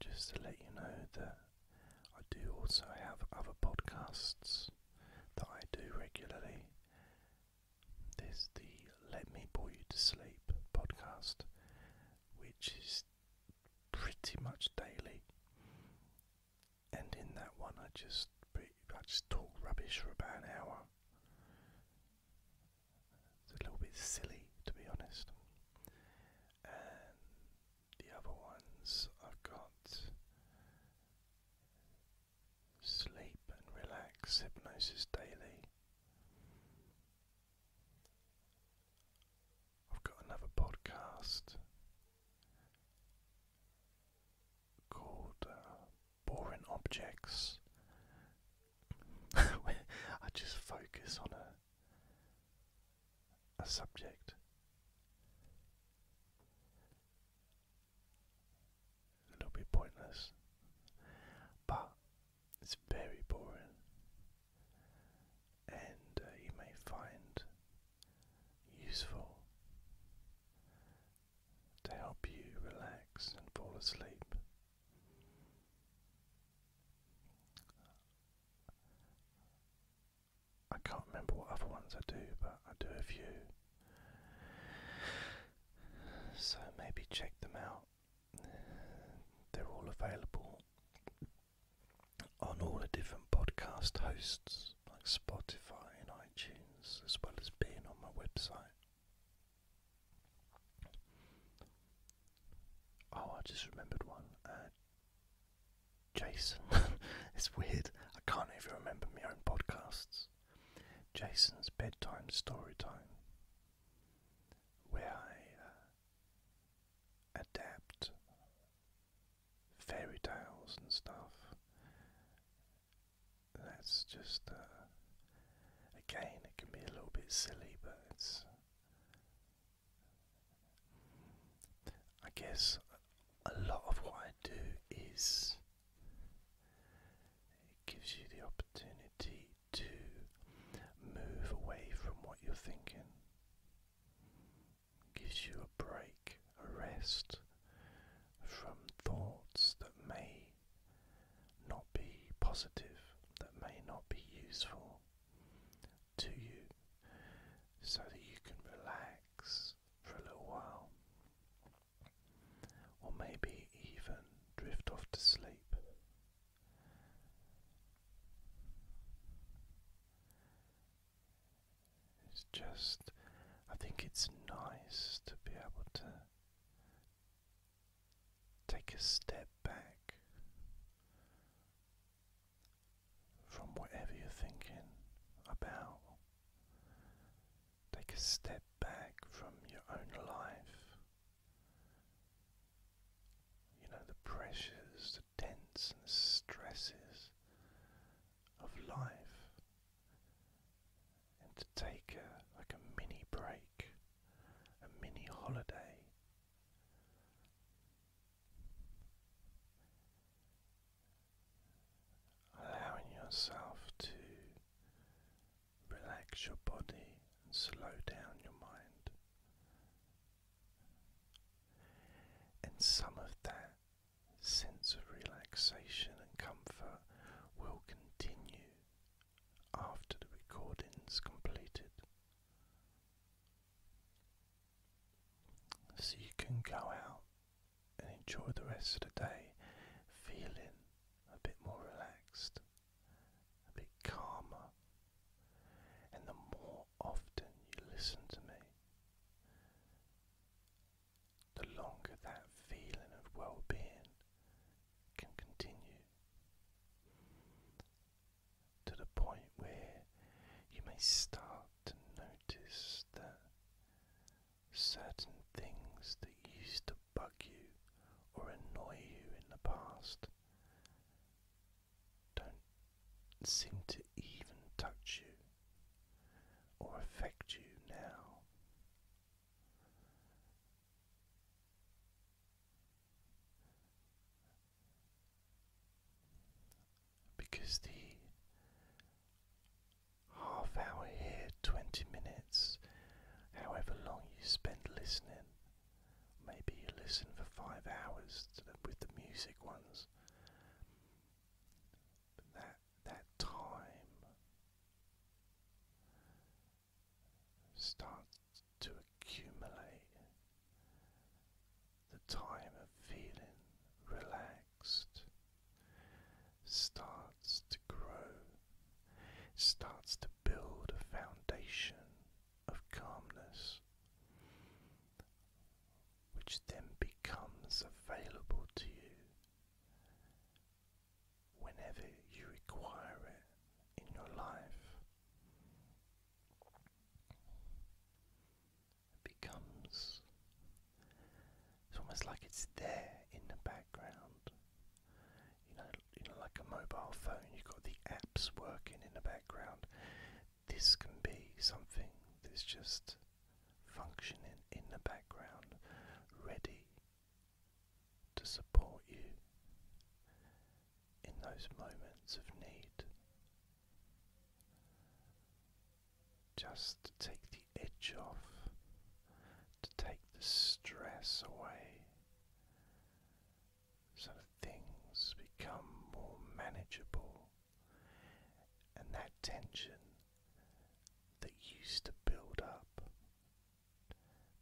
Just to let you know that I do also have other podcasts that I do regularly. There's the Let Me Bore You to Sleep podcast, which is pretty much daily. And in that one, I just I just talk rubbish for about an hour. It's a little bit silly, to be honest. And the other ones I've got Sleep and Relax Hypnosis Daily. I've got another podcast called uh, Boring Objects, I just focus on a a subject. A little bit pointless, but it's very boring, and uh, you may find useful to help you relax and fall asleep. I can't remember what other ones I do, but I do a few. So maybe check them out. They're all available on all the different podcast hosts like Spotify and iTunes, as well as being on my website. Oh, I just remembered one. Uh, Jason. it's weird. I can't even remember my own podcasts. Jason's bedtime story time, where I uh, adapt fairy tales and stuff. That's just uh, Again, it can be a little bit silly, but I guess a lot of what I do is. It gives you the opportunity to move away from what you're thinking. gives you a break, a rest from thoughts that may not be positive, that may not be useful to you, so that you can relax for a little while, or maybe even drift off to sleep. It's just, I think it's nice to be able to Take a step back from whatever you're thinking about. Take a step back from your own life. You know, the pressures, the tense and the stresses of life. And to take a, like a mini break a mini holiday. Allowing yourself to relax your body and slow down your mind. And some of that sense of relaxation and comfort will continue after the recording is completed. So you can go out and enjoy the rest of the day feeling a bit more relaxed, a bit calmer. And the more often you listen to me, the longer that feeling of well being can continue to the point where you may start to notice that certain things that used to bug you or annoy you in the past don't seem to even touch you or affect you now. Because the half hour here, 20 minutes, however long you spend listening, maybe you listen for five hours with the music ones. that that time start to accumulate the time of feeling relaxed starts to grow, starts to build a foundation of calmness, which then becomes available to you whenever you require it in your life. It becomes. It's almost like it's there in the background. You know, like a mobile phone, you've got the apps working in the background. This can be something that's just functioning in the background, ready to support you in those moments of need. Just to take the edge off, to take the stress away, so things become more manageable and that tension that used to build up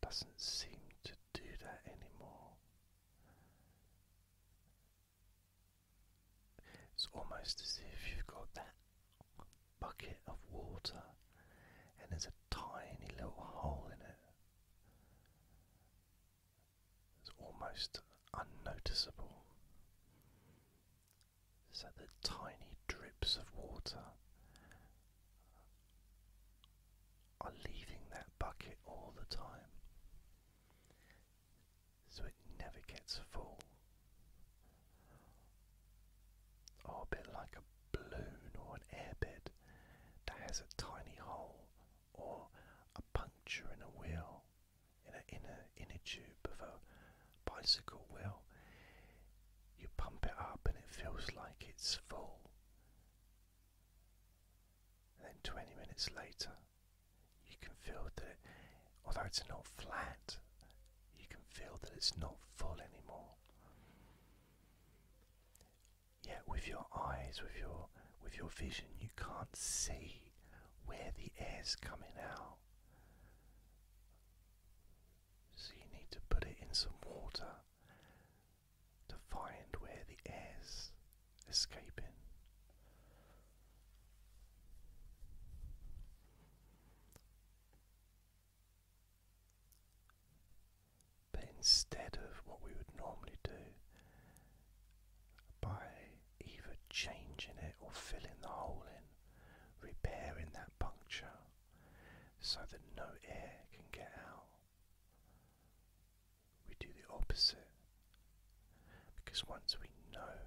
doesn't seem to do that anymore. It's almost as if you've got that bucket of water and there's a tiny little hole in it. It's almost unnoticeable so the tiny drips of water are leaving that bucket all the time. So it never gets full. Or oh, a bit like a balloon or an airbed that has a tiny hole or a puncture in a wheel, in a inner inner tube of a bicycle wheel, you pump it up and it feels like it's full. then 20 minutes later, you can feel that although it's not flat, you can feel that it's not full anymore. Yet with your eyes, with your with your vision, you can't see where the air's coming out. So you need to put it in some water to find where the air's escaping. But instead of what we would normally do, by either changing it or filling the hole in, repairing that puncture so that no air can get out. We do the opposite because once we know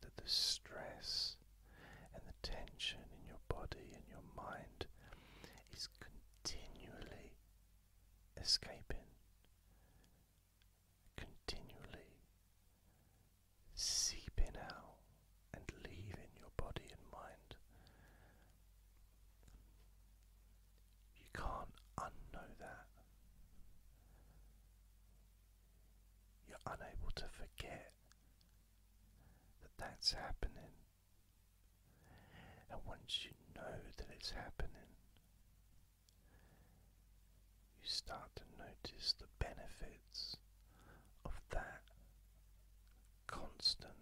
that the stress and the tension in your body and your mind is continually escaping, continually seeping out and leaving your body and mind. You can't unknow that. You're unable to forget that that's happening. And once you know that it's happening, you start to notice the benefits of that constant,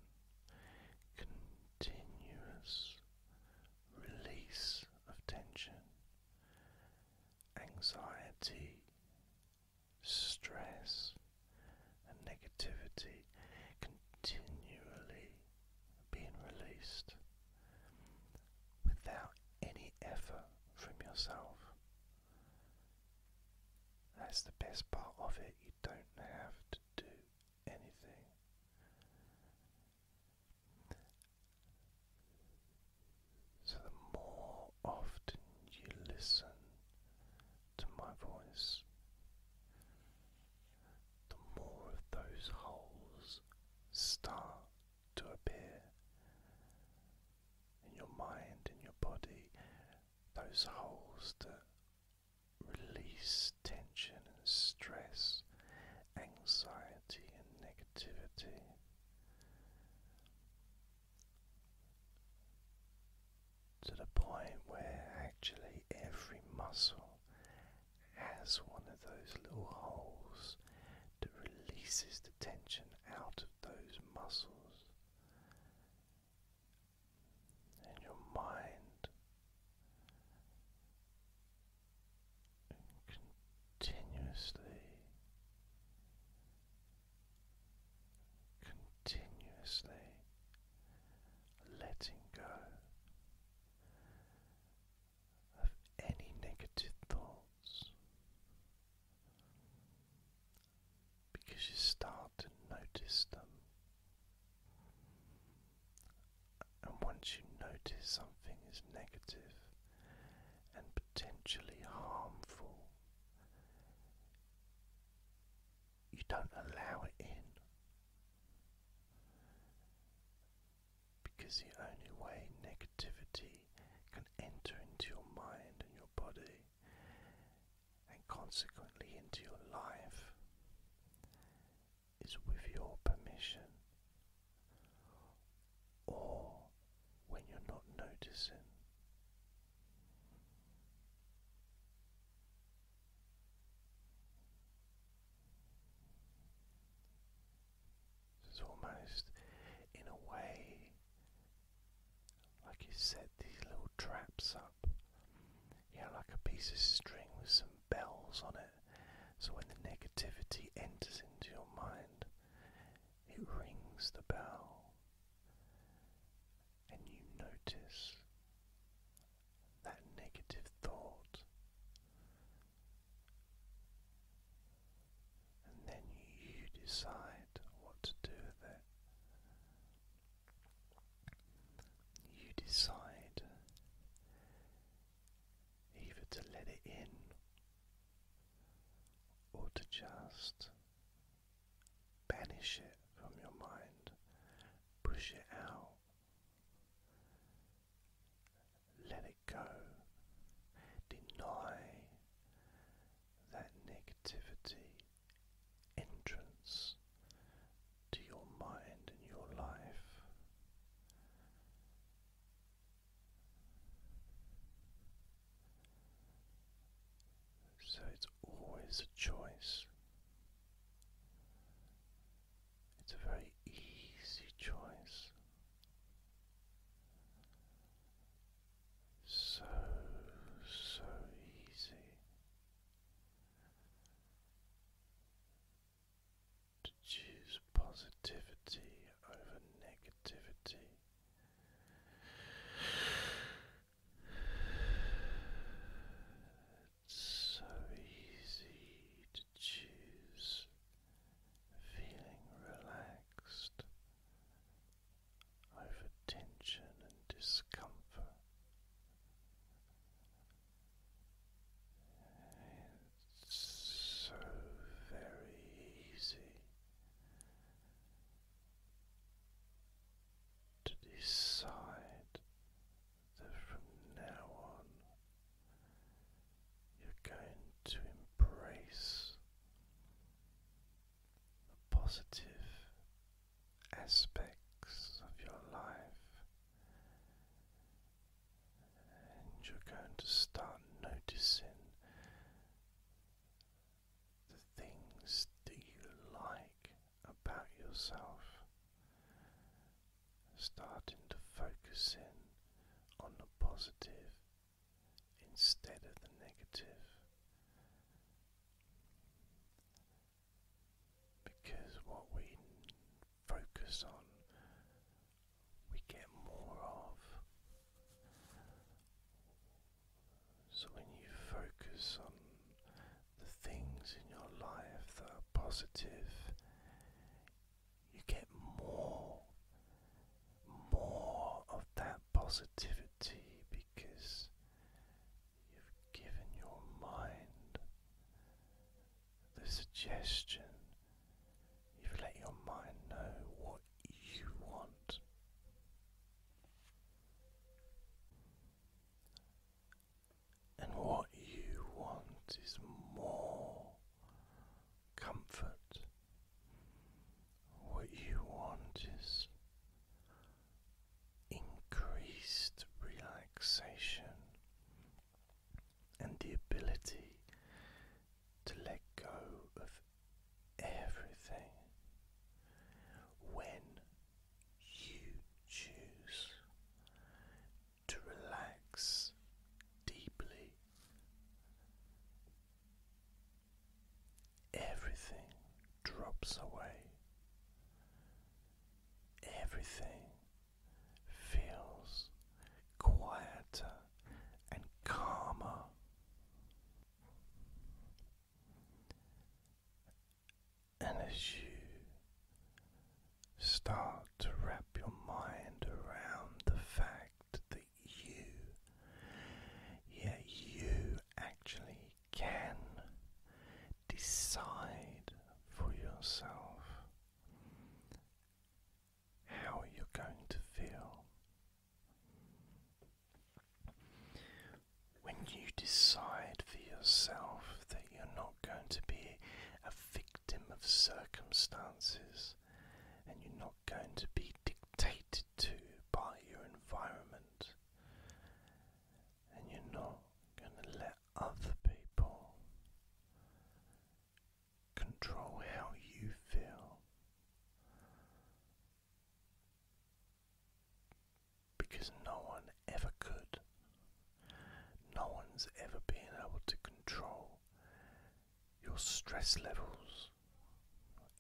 continuous release of tension, anxiety, stress, and negativity continually being released without any effort from yourself. That's the best part of it. You don't have to do anything. So, the more often you listen to my voice, the more of those holes start to appear in your mind, in your body, those holes that release tension and stress, anxiety and negativity. To the point where actually every muscle has one of those little holes that releases the tension out those muscles, and your mind continuously, continuously letting go. Of any negative thought, because you start to notice them. And once you notice something is negative and potentially harmful, you don't allow it in because the only way negativity can enter into your mind and your body, and consequently into your life, is with your permission or when you're not noticing. It's almost in a way like you set these little traps up. Yeah, like a piece of string with some bells on it. So when the negativity enters into your mind, it rings the bell. And you notice that negative thought and then you decide what to do with it. You decide either to let it in or to just banish it from your mind, push it out, let it go. Deny that negativity entrance to your mind and your life. So it's always a choice. It's a very easy choice so, so easy to choose positivity over negativity. It's so easy choose feeling relaxed over tension and discomfort. It's so very easy to decide that from now on you're going to embrace the positive aspects of your life, and you're going to start noticing the things that you like about yourself starting to focus in on the positive instead of the negative. Because what we focus on, we get more of. So when you focus on the things in your life that are positive, you get more, more of that positivity because you've given your mind the suggestion, you've let your mind know what you want. And what you want is more comfort. What you want is increased relaxation and the ability to let go of everything when you choose to relax deeply. Everything drops away. Everything feels quieter and calmer. And as you Start to wrap your mind around the fact that you, yeah, you actually can decide for yourself how you're going to feel. When you decide for yourself that you're not going to be a victim of circumstances and you're not going to be dictated to by your environment. And you're not going to let other people control how you feel. Because no one ever could. No one's ever been able to control your stress levels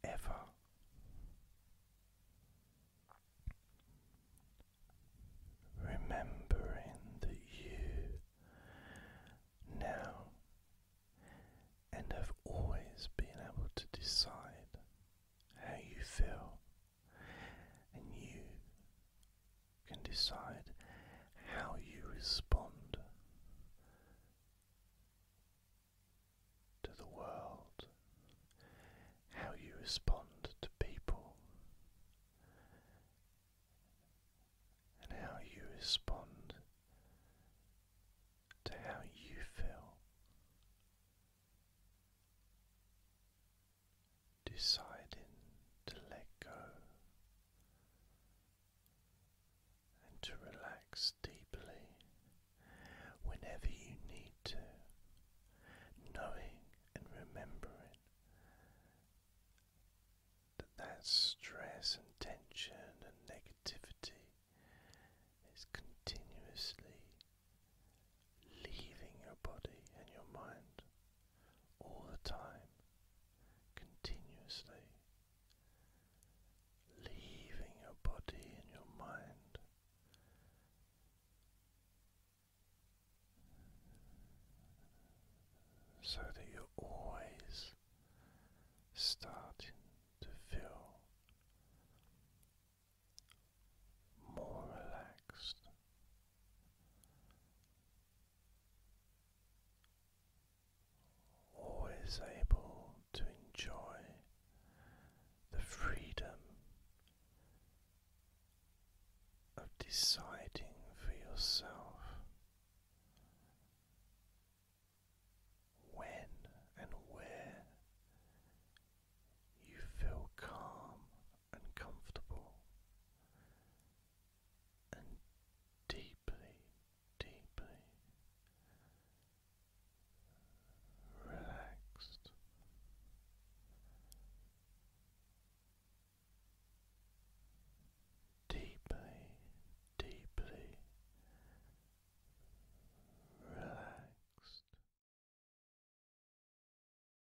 ever. Remembering that you now and have always been able to decide how you feel, and you can decide how you respond to the world, how you respond to people, and how you respond to how you feel deciding to let go and to relax deeply whenever you need to, knowing and remembering that that stress and tension and negativity is continuously leaving your body and your mind all the time, continuously, leaving your body and your mind. So that you're always starting to feel more relaxed, always able to enjoy the freedom of deciding for yourself when and where you feel calm and comfortable and deeply, deeply relaxed. Deeply, deeply relaxed.